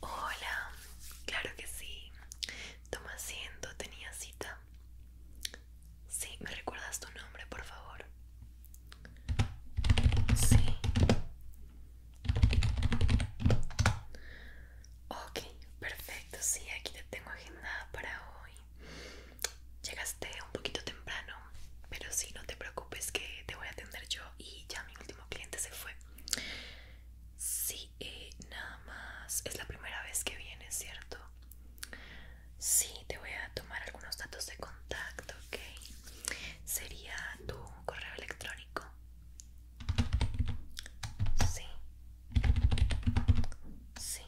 Hola, claro que sí. Toma asiento, tenía cita. Sí, ¿me recuerdas tu nombre, por favor? Sí. Ok, perfecto, sí, aquí te tengo agendada para hoy. Llegaste un poquito temprano, pero sí, no te preocupes que te voy a atender yo y ya mi último cliente se fue. Sí, eh, nada más. Es la primera vez que vienes, ¿cierto? Sí, te voy a tomar algunos datos de contacto, ¿ok? Sería tu correo electrónico. Sí. Sí.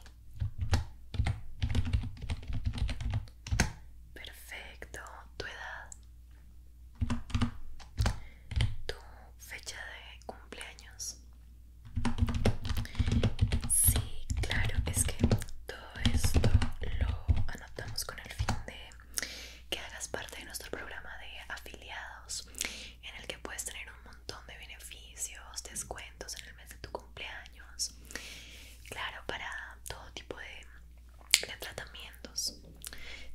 Perfecto. Tu edad. Tu fecha de cumpleaños. Sí, claro, es que todo esto lo anotamos con el fin de que hagas parte de nuestro programa de afiliados en el que puedes tener un montón de beneficios, descuentos en el mes de tu cumpleaños, claro, para todo tipo de, tratamientos.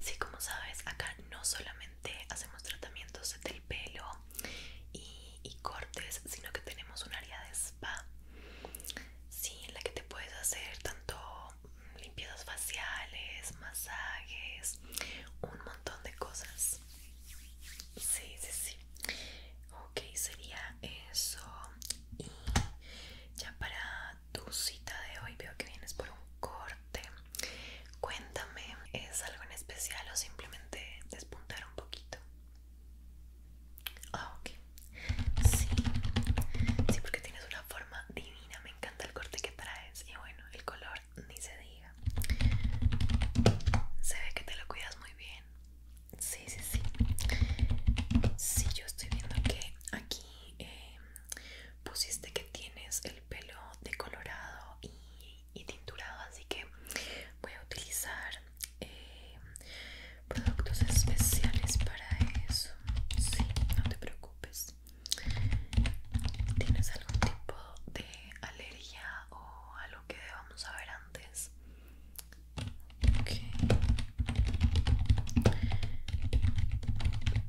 Sí, como sabes, acá no solamente hacemos tratamientos del pelo y, cortes, sino que tenemos un área de spa, sí, en la que te puedes hacer tanto limpiezas faciales, masajes, un montón de cosas. Sí, sí, sí. Ok, sería eso. Y ya para tu cita de hoy veo que vienes por un corte. Cuéntame, ¿es algo en especial o simplemente despuntar un poquito? Ah, ok. Sí. Sí, porque tienes una forma divina. Me encanta el corte que traes. Y bueno, el color ni se diga. Se ve que te lo cuidas muy bien. Sí, sí, sí. Sí, yo estoy viendo que aquí eh, pusiste que tienes el pelo decolorado y, tinturado, así que voy a utilizar eh, productos especiales para eso. Sí, no te preocupes. ¿Tienes algún tipo de alergia o algo que debamos saber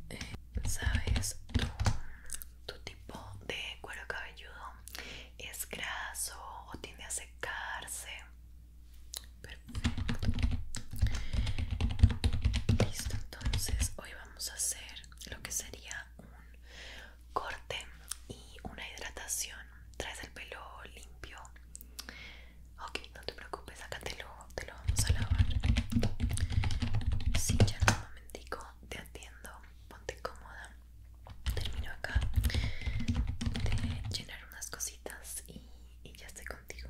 eh, sabes tu, tu tipo de cuero cabelludo es graso o tiende a secarse perfecto listo entonces hoy vamos a hacer lo que sería un corte y una hidratación. Traes el pelo limpio. Ok, no te preocupes, acá te lo, vamos a lavar. Sí, ya en un momentico te atiendo. Ponte cómoda. Termino acá de llenar unas cositas y ya estoy contigo.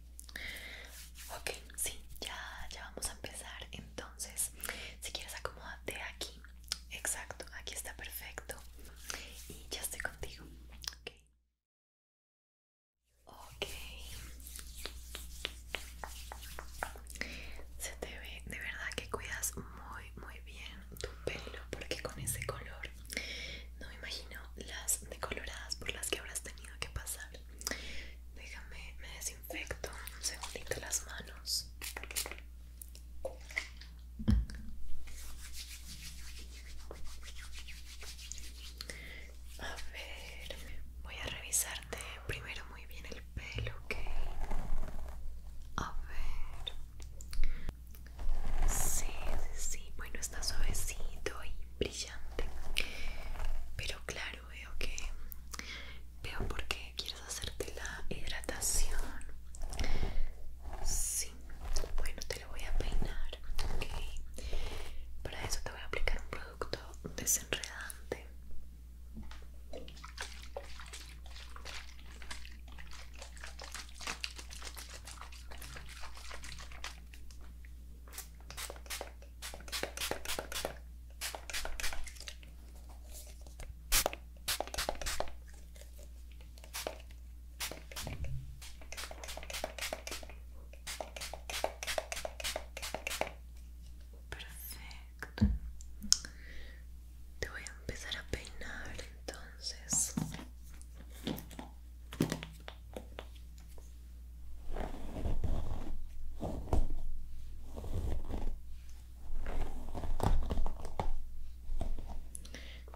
Ok, sí, ya, ya vamos a empezar. Entonces, si quieres acomódate aquí. Exacto, aquí está perfecto. Y ya estoy contigo. Ok. Se te ve, de verdad que cuidas muy, muy bien tu pelo porque con ese color no me imagino las decoloradas por las que habrás tenido que pasar. Déjame, me desinfecto un segundito las manos. A ver, voy a revisarte primero muy bien el pelo, ¿ok? A ver. sí, sí. Bueno, está suavecito y brillante. Pero claro, veo que veo porque quieres hacerte la hidratación. Sí, bueno, te lo voy a peinar, ok. Para eso te voy a aplicar un producto desenredante. Perfecto. Te voy a empezar a peinar entonces.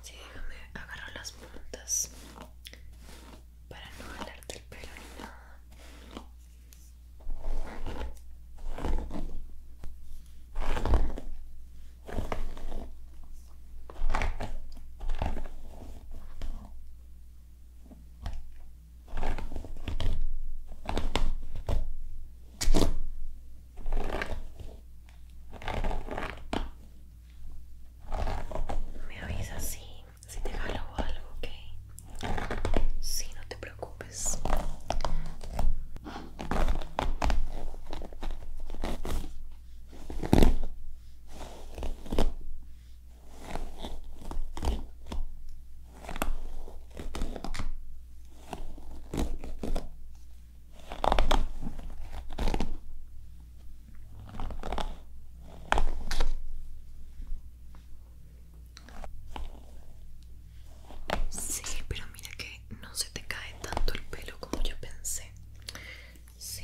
Sí, déjame agarrar las puntas para no jalarte el pelo ni nada. Me avisas si, si te jalo o algo, ¿ok? Si no te preocupes. Sí, pero mira que no se te cae tanto el pelo como yo pensé. Sí,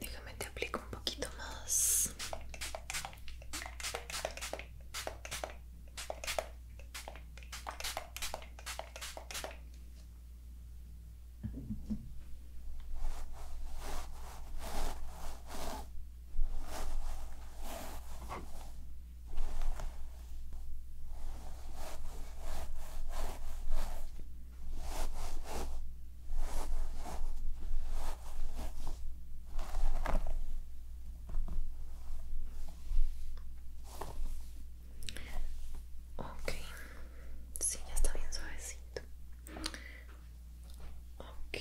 Déjame te aplico un poquito más. Ok, sí, ya está bien suavecito. Ok,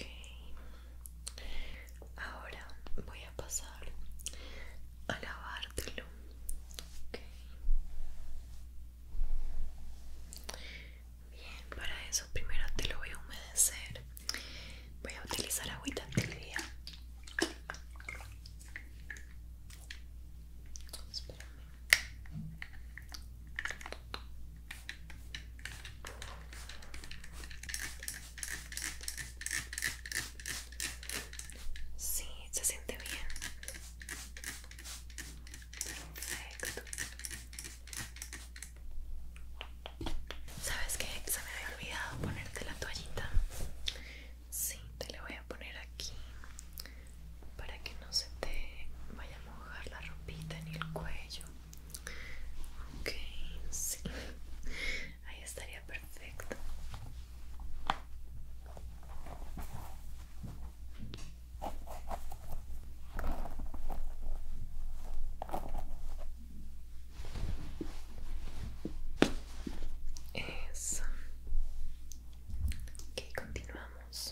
Ahora voy a pasar a lavártelo. Bien, para eso primero te lo voy a humedecer. Voy a utilizar agüita tibia. Espérame. Sí, se siente bien. Perfecto. ¿Sabes qué? Se me había olvidado ponerte la toallita. Sí, te la voy a poner aquí para que no se te vaya a mojar la ropita ni el cuello. Ok, sí ahí estaría perfecto eso ok continuamos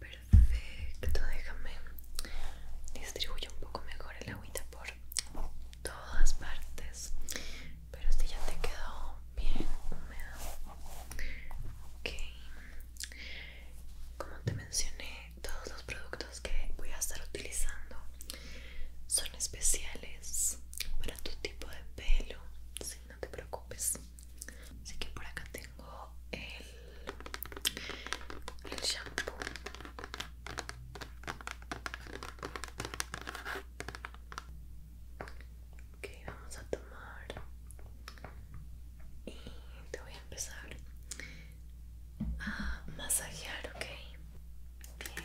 Perfecto, déjame distribuir un poco mejor el agüita por todas partes. Pero este ya te quedó bien húmedo. Ok. Como te mencioné, todos los productos que voy a estar utilizando son especiales para tu tipo de pelo, si no te preocupes. Así que por acá tengo el, el shampoo. Ok, vamos a tomar y te voy a empezar a masajear, ok. Bien.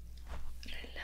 Relate. Relate.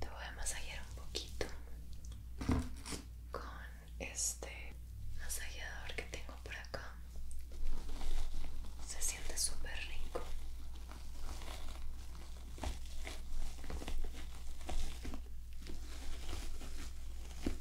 Te voy a masajear un poquito con este masajeador que tengo por acá. Se siente súper rico.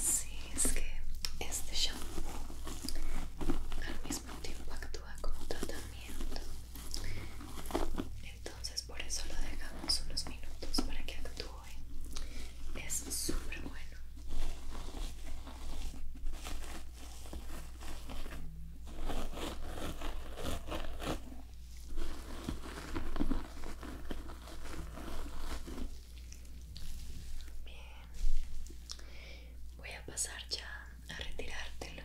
Sí, es que este shampoo al mismo tiempo actúa como tratamiento. Entonces por eso lo dejamos unos minutos para que actúe. Es súper bueno. Bien. Voy a pasar ya a retirártelo.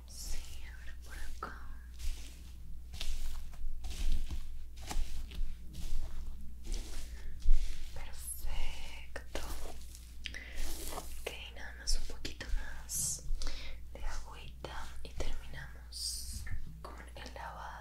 Sí, ahora por acá. Perfecto. Ok, nada más un poquito más de agüita y terminamos con el lavado.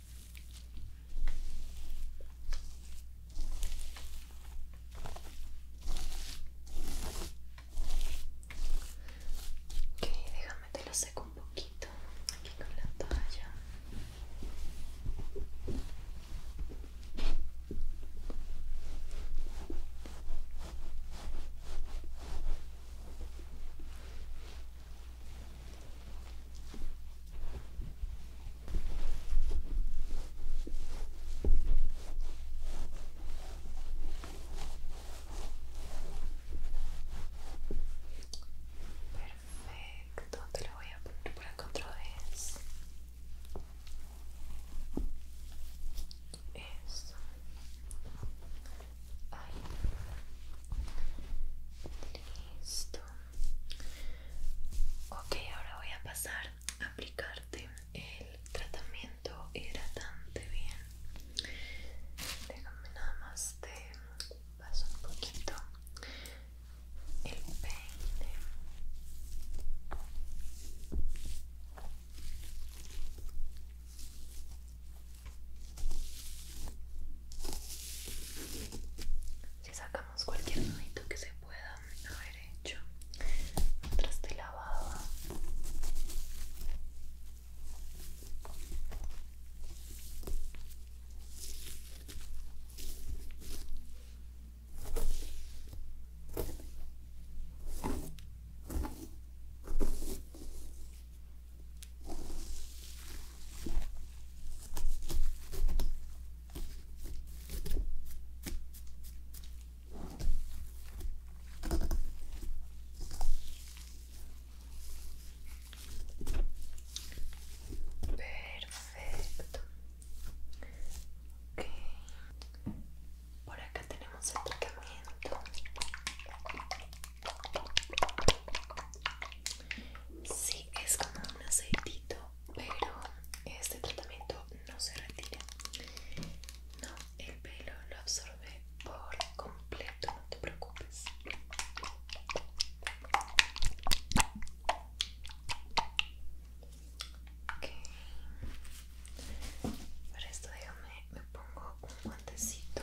Ok, déjame te lo seco un poquito aquí con la toalla. Perfecto, te lo voy a poner por la es. vez. Eso. Listo. Ok, ahora voy a pasar a aplicarte el tratamiento hidratante bien. Déjame nada más te paso un poquito el peine. Si sacamos cualquier nudito que se pueda haber hecho mientras te lavaba. Perfecto. Okay. Por acá tenemos el tratamiento. Sí, es como un aceitito, pero este tratamiento no se retira. No, el pelo lo absorbe por completo, no te preocupes. Ok. Para esto déjame, me pongo un guantecito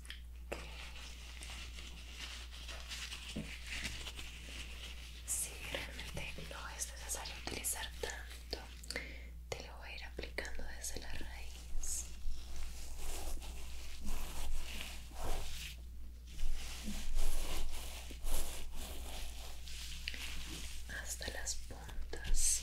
Si realmente no es necesario utilizar tanto, te lo voy a ir aplicando desde la raíz. Hasta las puntas.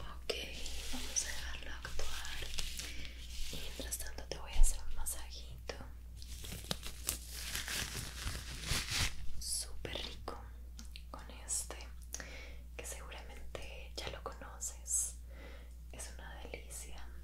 Ok, vamos a dejarlo actuar. Y mientras tanto te voy a hacer un masajito. Súper rico con este, que seguramente ya lo conoces. Es una delicia.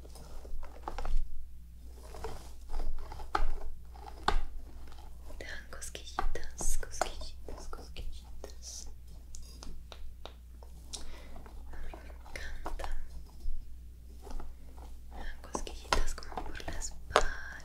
Te dan cosquillitas, cosquillitas, cosquillitas. A me encanta. dan cosquillitas como por la espalda.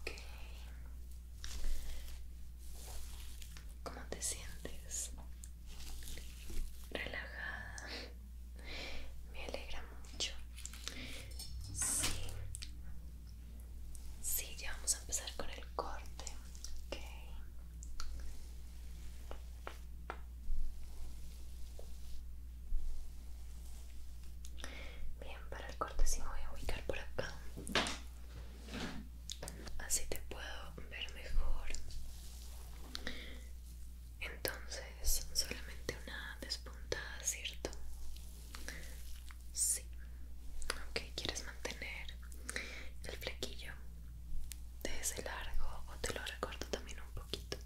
Okay. ¿Cómo te sientes? Relajada. Me alegra mucho. Sí. Sí, ya vamos a empezar con el corte. Ok. Bien, para el corte sí me voy a ubicar por acá. Así te puedo ver mejor. Entonces, solamente una despuntada, ¿cierto? Sí. Ok, ¿quieres mantener el flequillo de ese largo o te lo recorto también un poquito?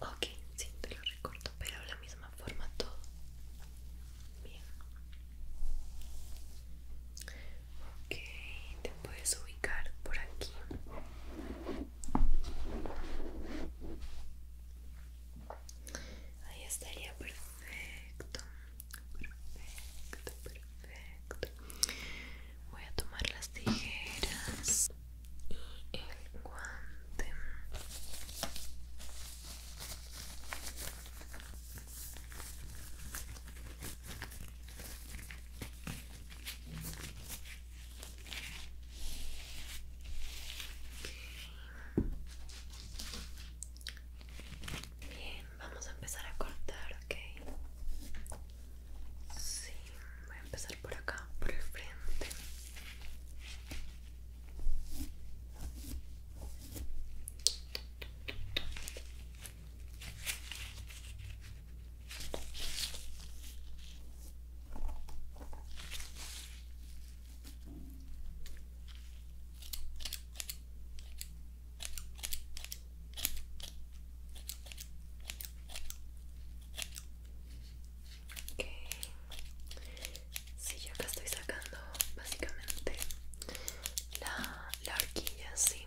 Ok, sí, te lo recorto, pero de la misma forma todo. Bien. Ok, te puedes ubicar por aquí. Ahí estaría perfecto. Perfecto, perfecto. Voy a tomar las tijeras y el guante. Bien, vamos a empezar a cortar, ok. Sí, voy a empezar por acá, por el frente si, Sí, yo acá estoy sacando básicamente la, la horquilla, sí.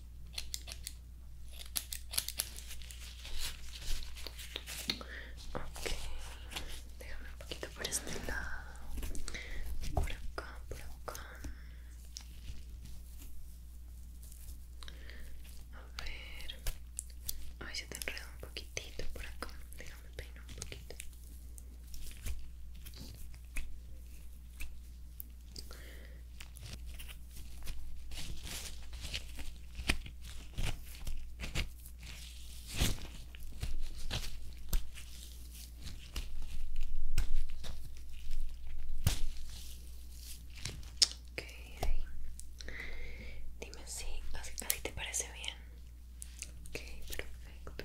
Ok, déjame un poquito por este lado, por acá, por acá. A ver, ay, se te enredo un poquitito por acá. Déjame peinar un poquito. Okay, Dime si así, así te parece bien. Ok, perfecto.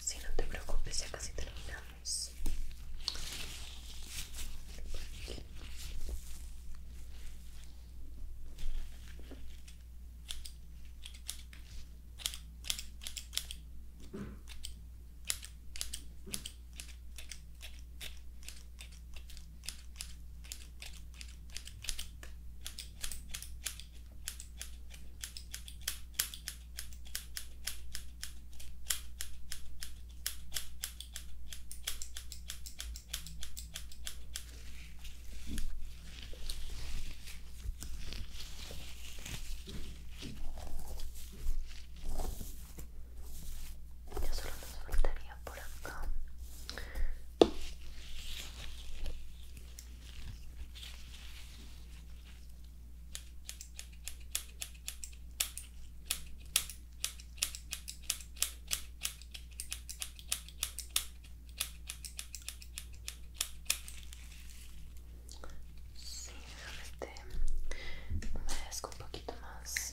Si no te preocupes, ya casi terminamos. Ya solo nos faltaría por acá. Sí, déjame este un poquito más.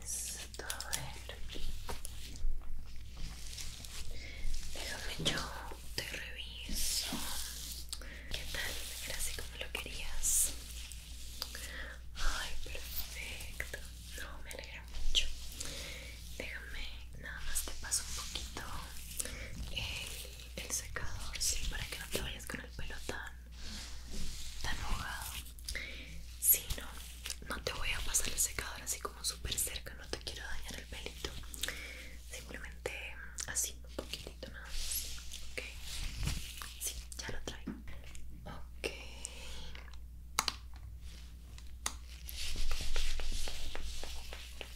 Listo, a ver. Déjame yo te reviso. ¿Qué tal? Era así como lo querías. Ay, perfecto. No, me alegra mucho. Déjame, nada más te paso un poquito el el secador, sí, para que no te vayas con el pelo tan, tan Si no, no te voy a pasar el secador así como súper cerca, no te quiero dañar el pelito. Simplemente así, un poquitito nada más. Ok, sí, ya lo traigo. Ok.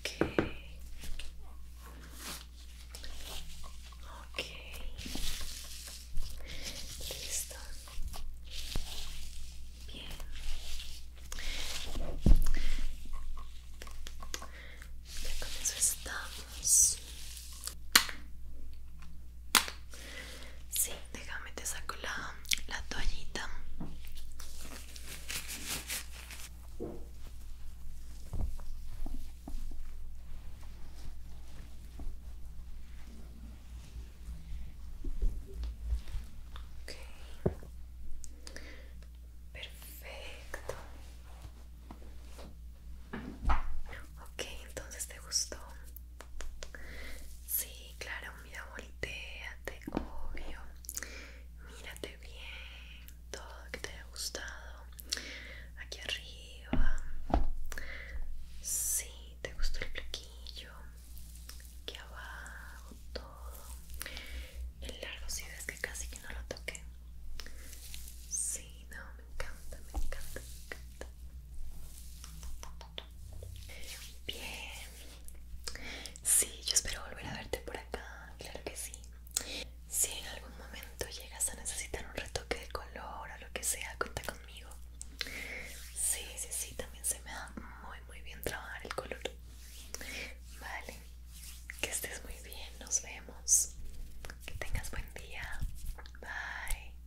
Okay. Okay. Listo. Bien. Ya con eso estamos. Sí, déjame te saco la, toallita. Okay. Perfecto. Okay, entonces te gustó. Sí, claro, mira, volteate, obvio. Mírate bien, todo que te haya gustado. Aquí arriba. Sí, te gustó el plaquillo. Aquí abajo, todo. El largo, si ves que casi que no lo toqué. Sí, no, me encanta, me encanta, me encanta. Bien. Sí, yo espero volver a verte por acá, claro que sí. Si en algún momento llegas a necesitar un retoque de color o lo que sea, cuenta conmigo. Sí, sí, sí, también se me da muy, muy bien trabajar el color. Vale, que estés muy bien, nos vemos. Que tengas buen día. Bye.